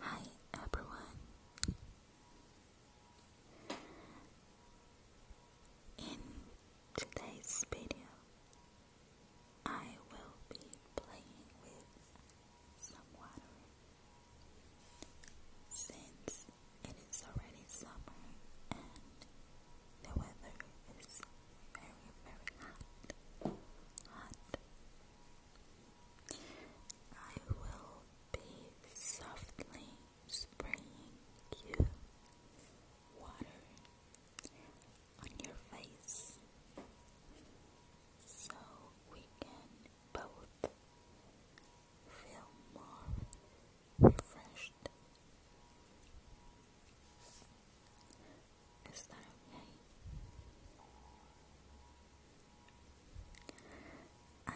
Hi everyone. In today's video, I will be playing with some water. Since it is already summer and the weather is very, very hot. Hot. I will be softly spraying you water on your face so we can both feel more refreshed. Is that okay? I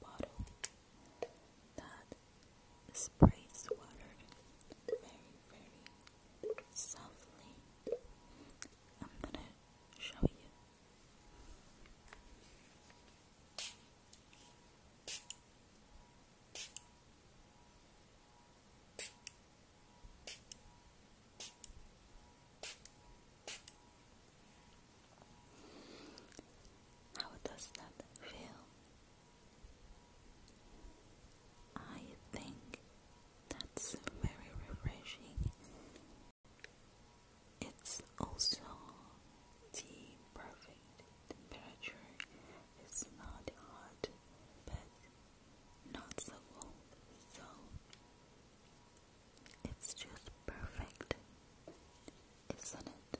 have a bottle that sprays water very, very softly. I'm gonna show you how does that feel? I think that's very refreshing it's also the perfect temperature. It's not hot but not so cold, so it's just perfect, isn't it?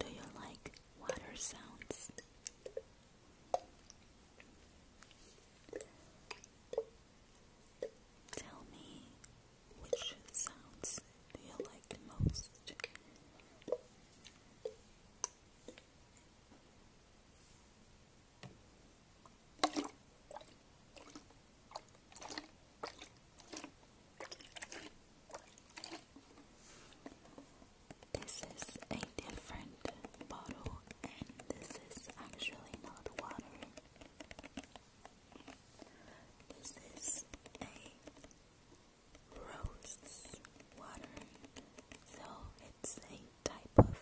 Do you like water sounds? Tell me which sounds you like most? This is a different bottle, and this is actually not water. This is a rose water, so it's a type of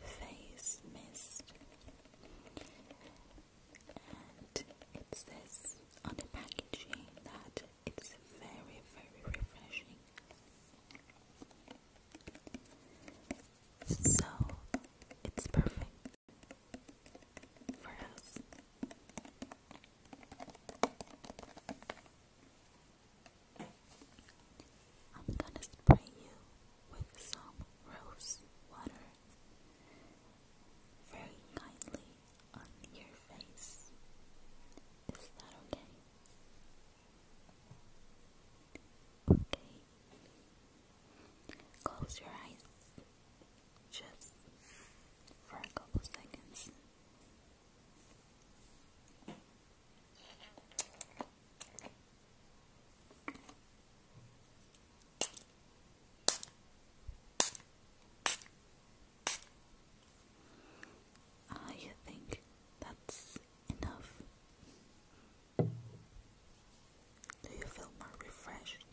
face mist. And it says on the packaging that it's very, very refreshing. So it's perfect for us. I'm gonna spray you with some rose water very kindly on your face. Is that okay? Okay. Close your eyes just for a couple seconds. Ah, you think that's enough. Do you feel more refreshed?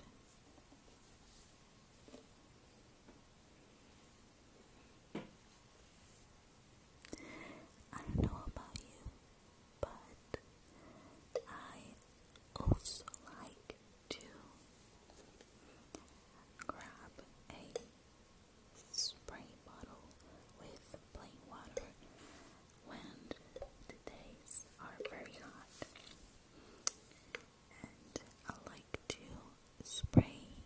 I don't know about you, but I also like to grab a spray bottle with plain water when the days are very hot. And I like to spray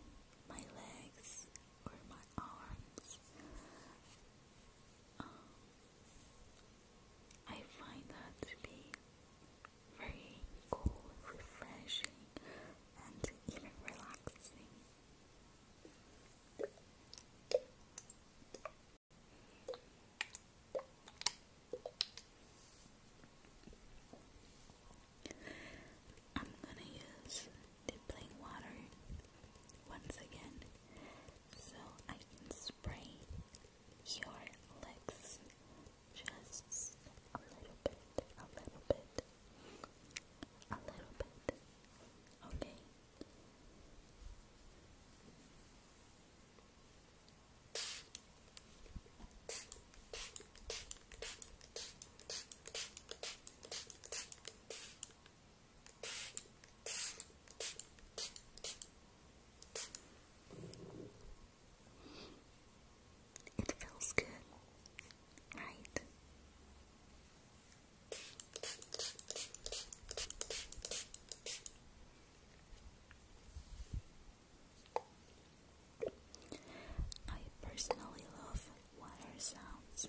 my legs or my arms. Um, I find that to be very cool, refreshing, and even relaxing. I'm gonna use the plain water once again so I can spray your legs just a little bit, a little bit a little bit, okay? It feels good right? I personally love water sounds.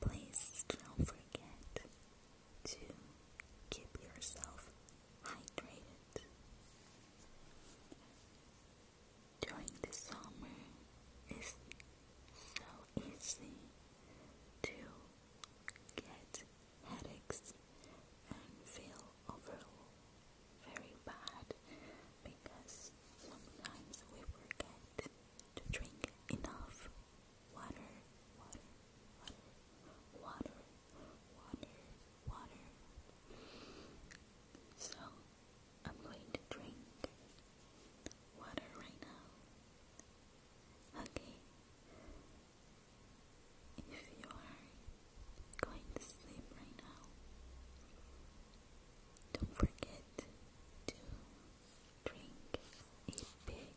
Please don't forget to keep yourself hydrated during the summer it's so easy to get headaches and feel overall very bad because sometimes we forget to drink enough water, water, water, water, water, water. So I'm going to drink water right now. Okay. If you are going to sleep right now, don't forget to drink a big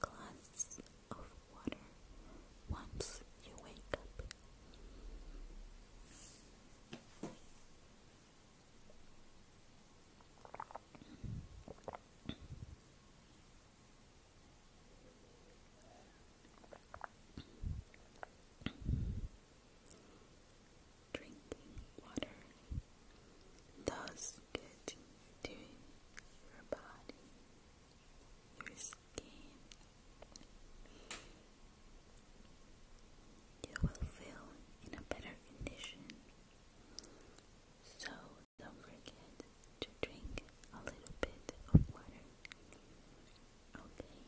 glass of water once you wake up. Drinking water does good to your body, skin. You will feel in a better condition. So don't forget to drink a little bit of water. Okay.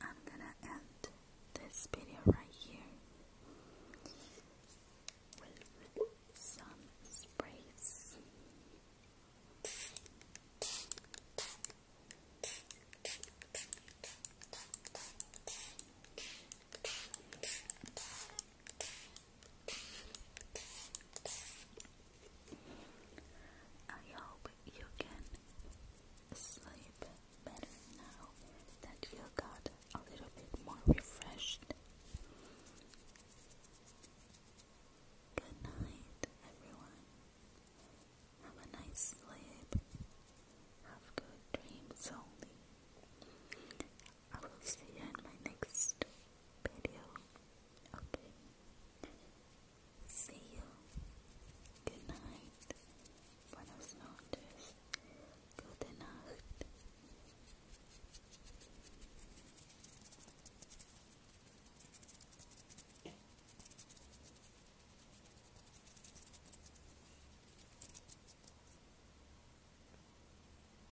I'm gonna end this video right here with some sprays. I hope you can sleep better now that you got a little bit more refreshed. Good night, everyone. Have a nice sleep. Have good dreams only. I will see you in my next video. Okay. See you. Good night. Buenas noches. Gute Nacht.